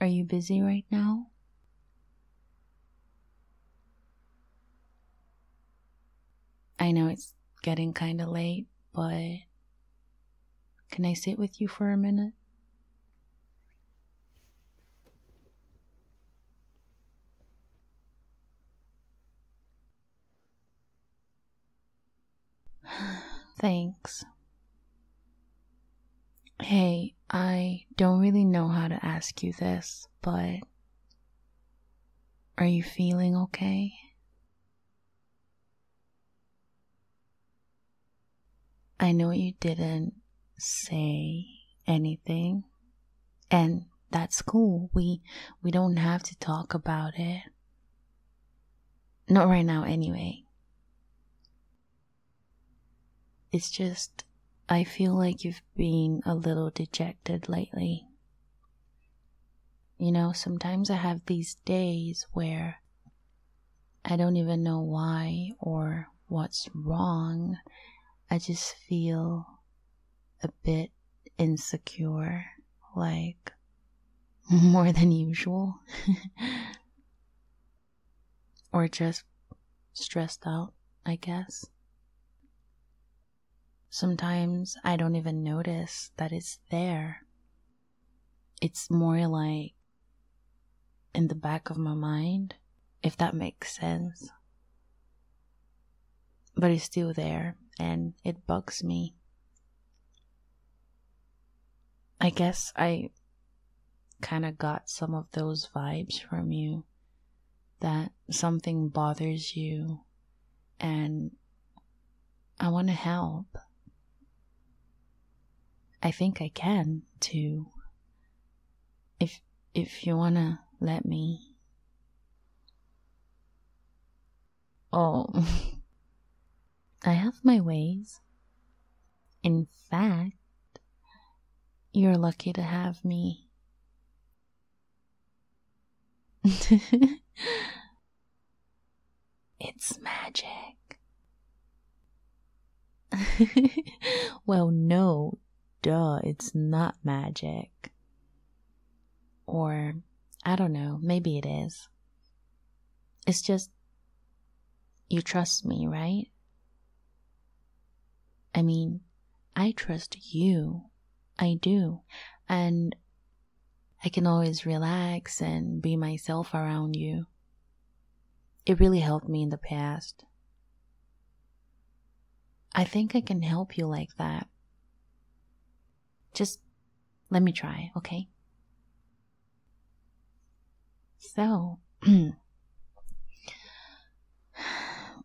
Are you busy right now? I know it's getting kind of late, but can I sit with you for a minute? Thanks. Hey, I don't really know how to ask you this, but are you feeling okay? I know you didn't say anything, and that's cool we we don't have to talk about it not right now anyway it's just i feel like you've been a little dejected lately you know sometimes i have these days where i don't even know why or what's wrong i just feel a bit insecure, like more than usual, or just stressed out, I guess. Sometimes I don't even notice that it's there. It's more like in the back of my mind, if that makes sense. But it's still there, and it bugs me. I guess I kind of got some of those vibes from you that something bothers you and I want to help. I think I can too. If if you want to let me Oh, I have my ways. In fact, you're lucky to have me. it's magic. well, no, duh, it's not magic. Or, I don't know, maybe it is. It's just, you trust me, right? I mean, I trust you. I do. And I can always relax and be myself around you. It really helped me in the past. I think I can help you like that. Just let me try, okay? So,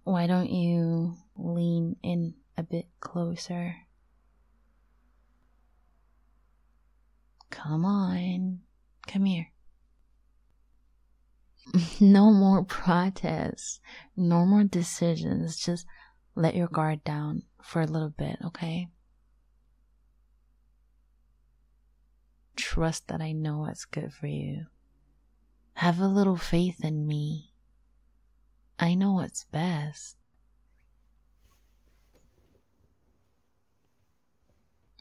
why don't you lean in a bit closer? Come on, come here no more protests, no more decisions. Just let your guard down for a little bit, okay? Trust that I know what's good for you. Have a little faith in me. I know what's best.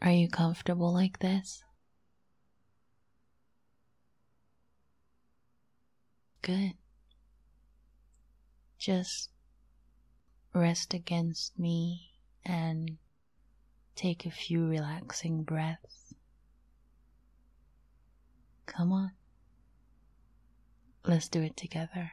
Are you comfortable like this? Good. Just rest against me and take a few relaxing breaths. Come on. Let's do it together.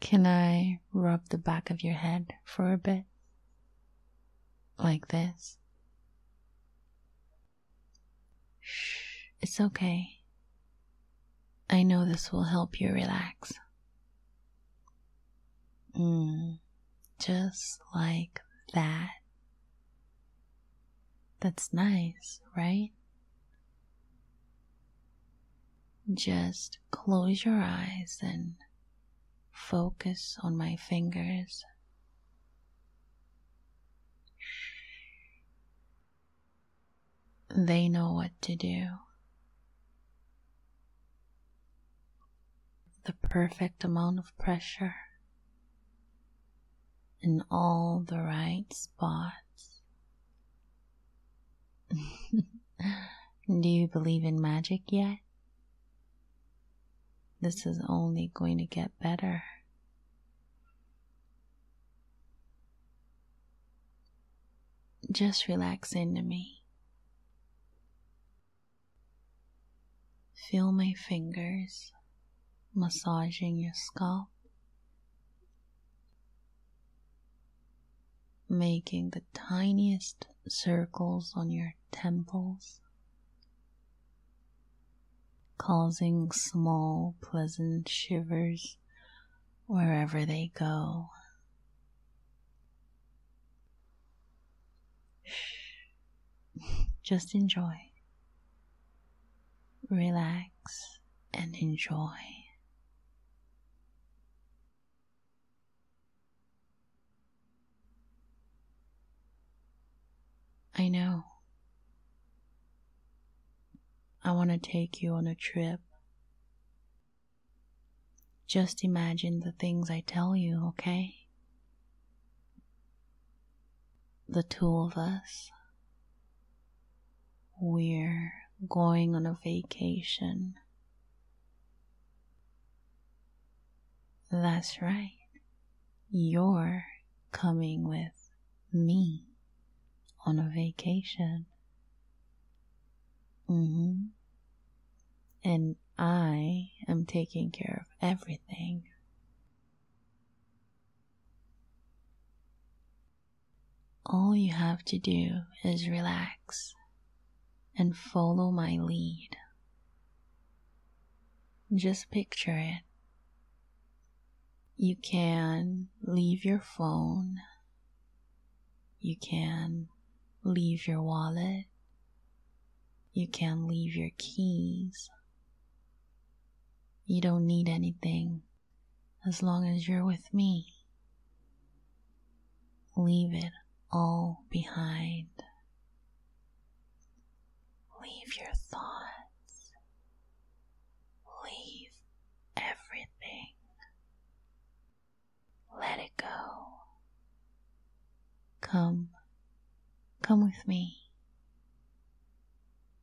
Can I rub the back of your head for a bit? Like this? Shh, it's okay. I know this will help you relax. Mm, just like that. That's nice, right? just close your eyes and focus on my fingers. They know what to do. The perfect amount of pressure in all the right spots Do you believe in magic yet? This is only going to get better. Just relax into me. Feel my fingers massaging your scalp making the tiniest circles on your temples, causing small pleasant shivers wherever they go. Just enjoy, relax, and enjoy. I know. I want to take you on a trip. Just imagine the things I tell you, okay? The two of us we're going on a vacation. That's right. You're coming with me on a vacation. Mm-hmm. And I am taking care of everything. All you have to do is relax and follow my lead. Just picture it. You can leave your phone. You can leave your wallet. You can leave your keys. You don't need anything as long as you're with me. Leave it all behind. Leave your thoughts. Leave everything. Let it go. Come, come with me.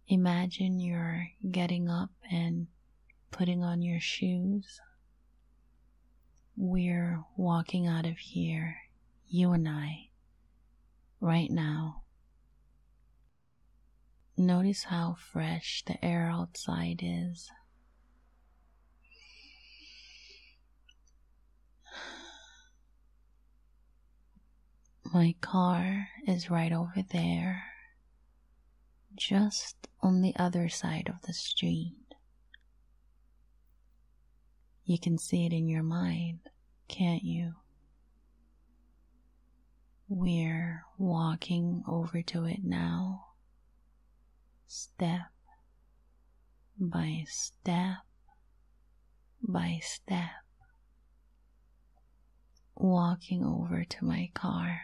Imagine you're getting up and putting on your shoes. We're walking out of here, you and I, right now. Notice how fresh the air outside is. My car is right over there just on the other side of the street. You can see it in your mind, can't you? We're walking over to it now, step by step by step walking over to my car.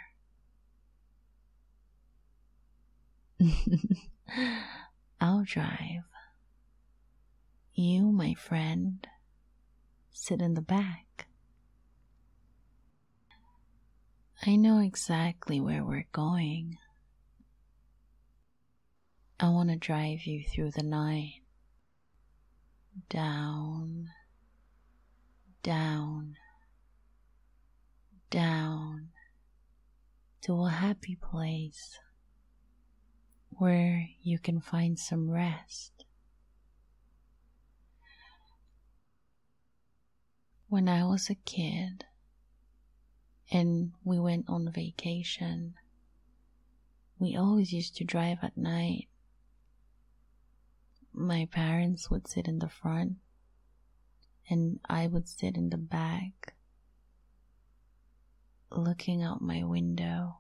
I'll drive. You, my friend, sit in the back. I know exactly where we're going. I want to drive you through the night down, down, down to a happy place where you can find some rest. When I was a kid and we went on vacation, we always used to drive at night my parents would sit in the front and I would sit in the back looking out my window.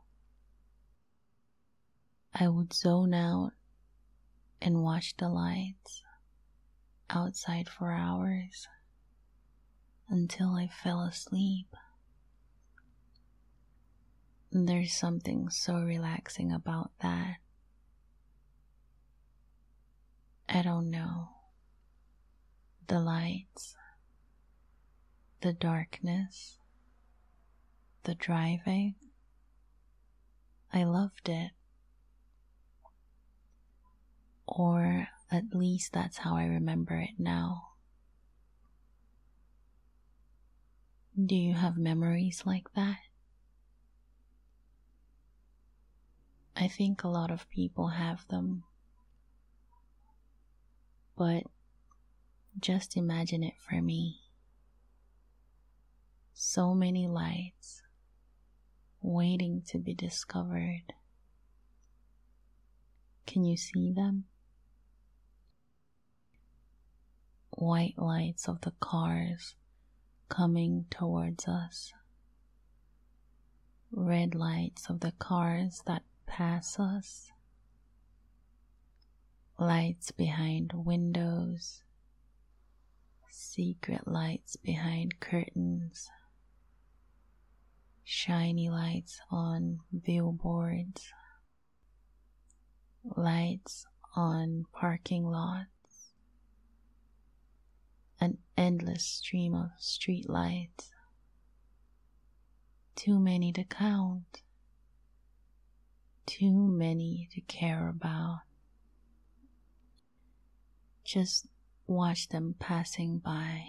I would zone out and watch the lights outside for hours until I fell asleep. There's something so relaxing about that. I don't know. The lights, the darkness, the driving. I loved it. Or at least that's how I remember it now. Do you have memories like that? I think a lot of people have them. But just imagine it for me. So many lights waiting to be discovered. Can you see them? white lights of the cars coming towards us, red lights of the cars that pass us, lights behind windows, secret lights behind curtains, shiny lights on billboards, lights on parking lots, an endless stream of street lights, too many to count, too many to care about. Just watch them passing by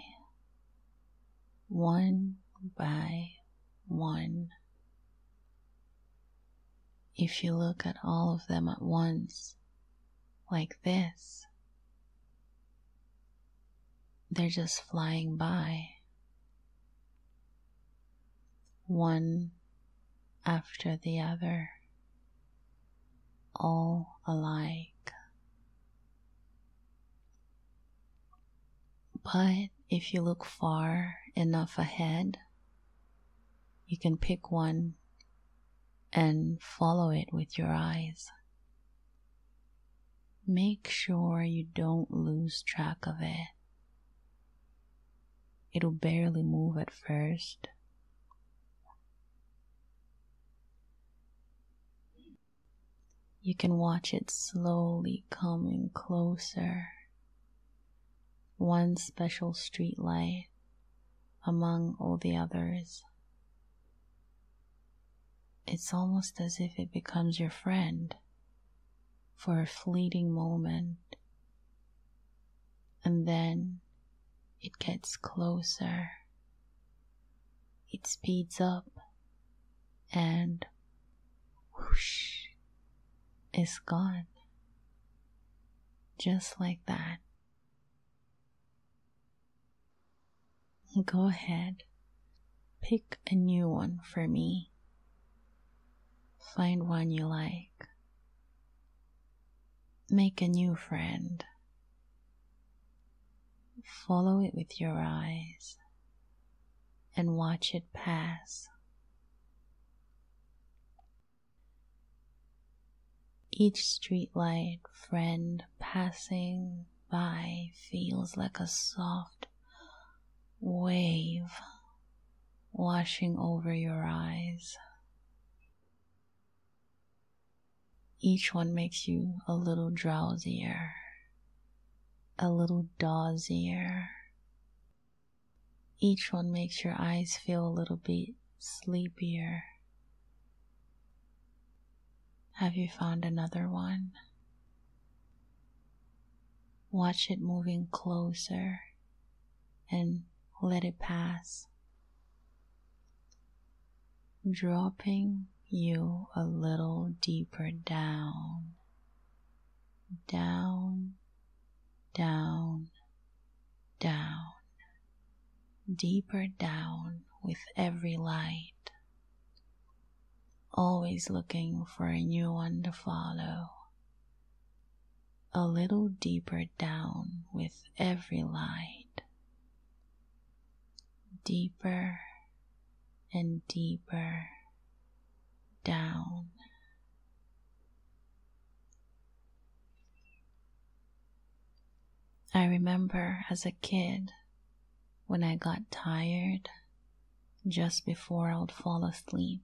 one by one. If you look at all of them at once, like this, they're just flying by. One after the other, all alike. But if you look far enough ahead, you can pick one and follow it with your eyes. Make sure you don't lose track of it. It'll barely move at first. You can watch it slowly coming closer. One special street light among all the others. It's almost as if it becomes your friend for a fleeting moment, and then it gets closer. It speeds up and whoosh, it's gone. Just like that. Go ahead, pick a new one for me. Find one you like. Make a new friend Follow it with your eyes and watch it pass. Each streetlight friend passing by feels like a soft wave washing over your eyes. Each one makes you a little drowsier, a little dozier. Each one makes your eyes feel a little bit sleepier. Have you found another one? Watch it moving closer and let it pass dropping you a little deeper down, down, down, down, deeper down with every light, always looking for a new one to follow. A little deeper down with every light deeper and deeper down. I remember as a kid when I got tired just before I would fall asleep,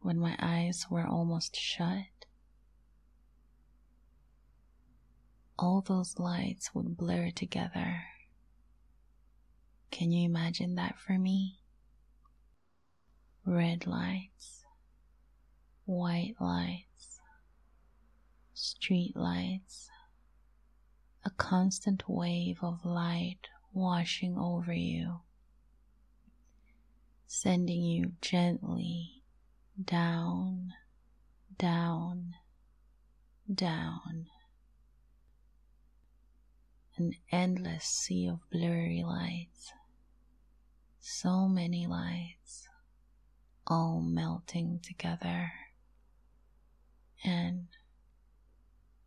when my eyes were almost shut, all those lights would blur together. Can you imagine that for me? Red lights, white lights, street lights, a constant wave of light washing over you, sending you gently down down, down. An endless sea of blurry lights, so many lights, all melting together. And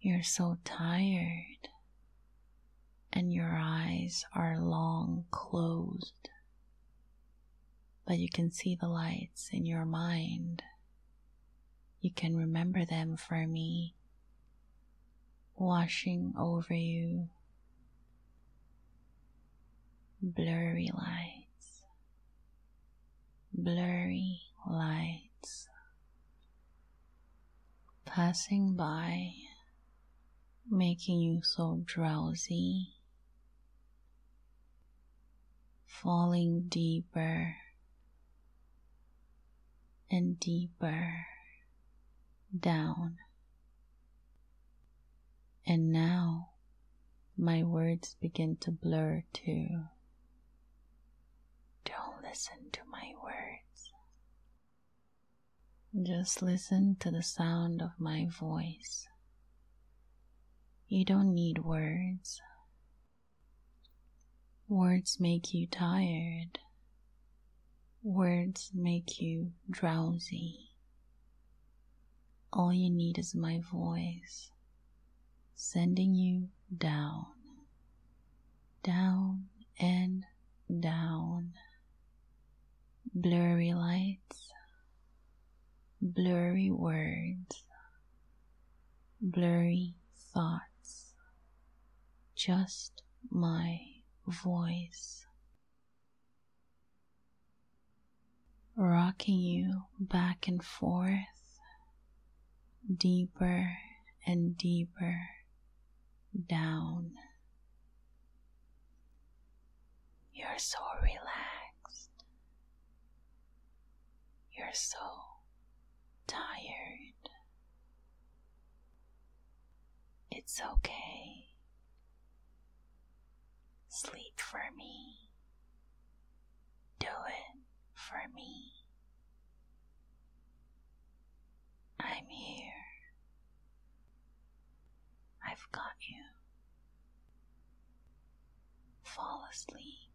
you're so tired, and your eyes are long closed but you can see the lights in your mind. You can remember them for me, washing over you. Blurry lights, blurry lights, passing by making you so drowsy, falling deeper and deeper down. And now my words begin to blur too. Don't listen to my words. Just listen to the sound of my voice. You don't need words. Words make you tired. Words make you drowsy. All you need is my voice sending you down, down and down blurry lights, blurry words, blurry thoughts, just my voice. Rocking you back and forth, deeper and deeper down. You're so relaxed. You're so tired. It's okay. Sleep for me. Do it for me. I'm here I've got you. Fall asleep.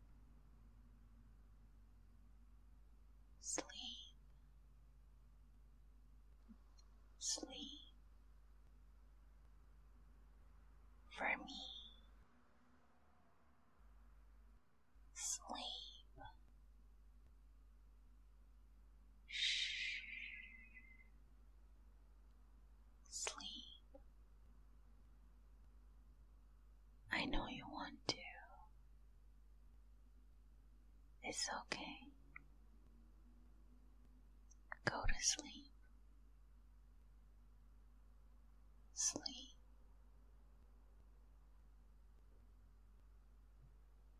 Sleep. Sleep. For me. Sleep. Sleep. I know you want to. It's okay. Go to sleep. Sleep.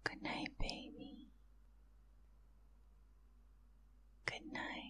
Good night, baby. Good night.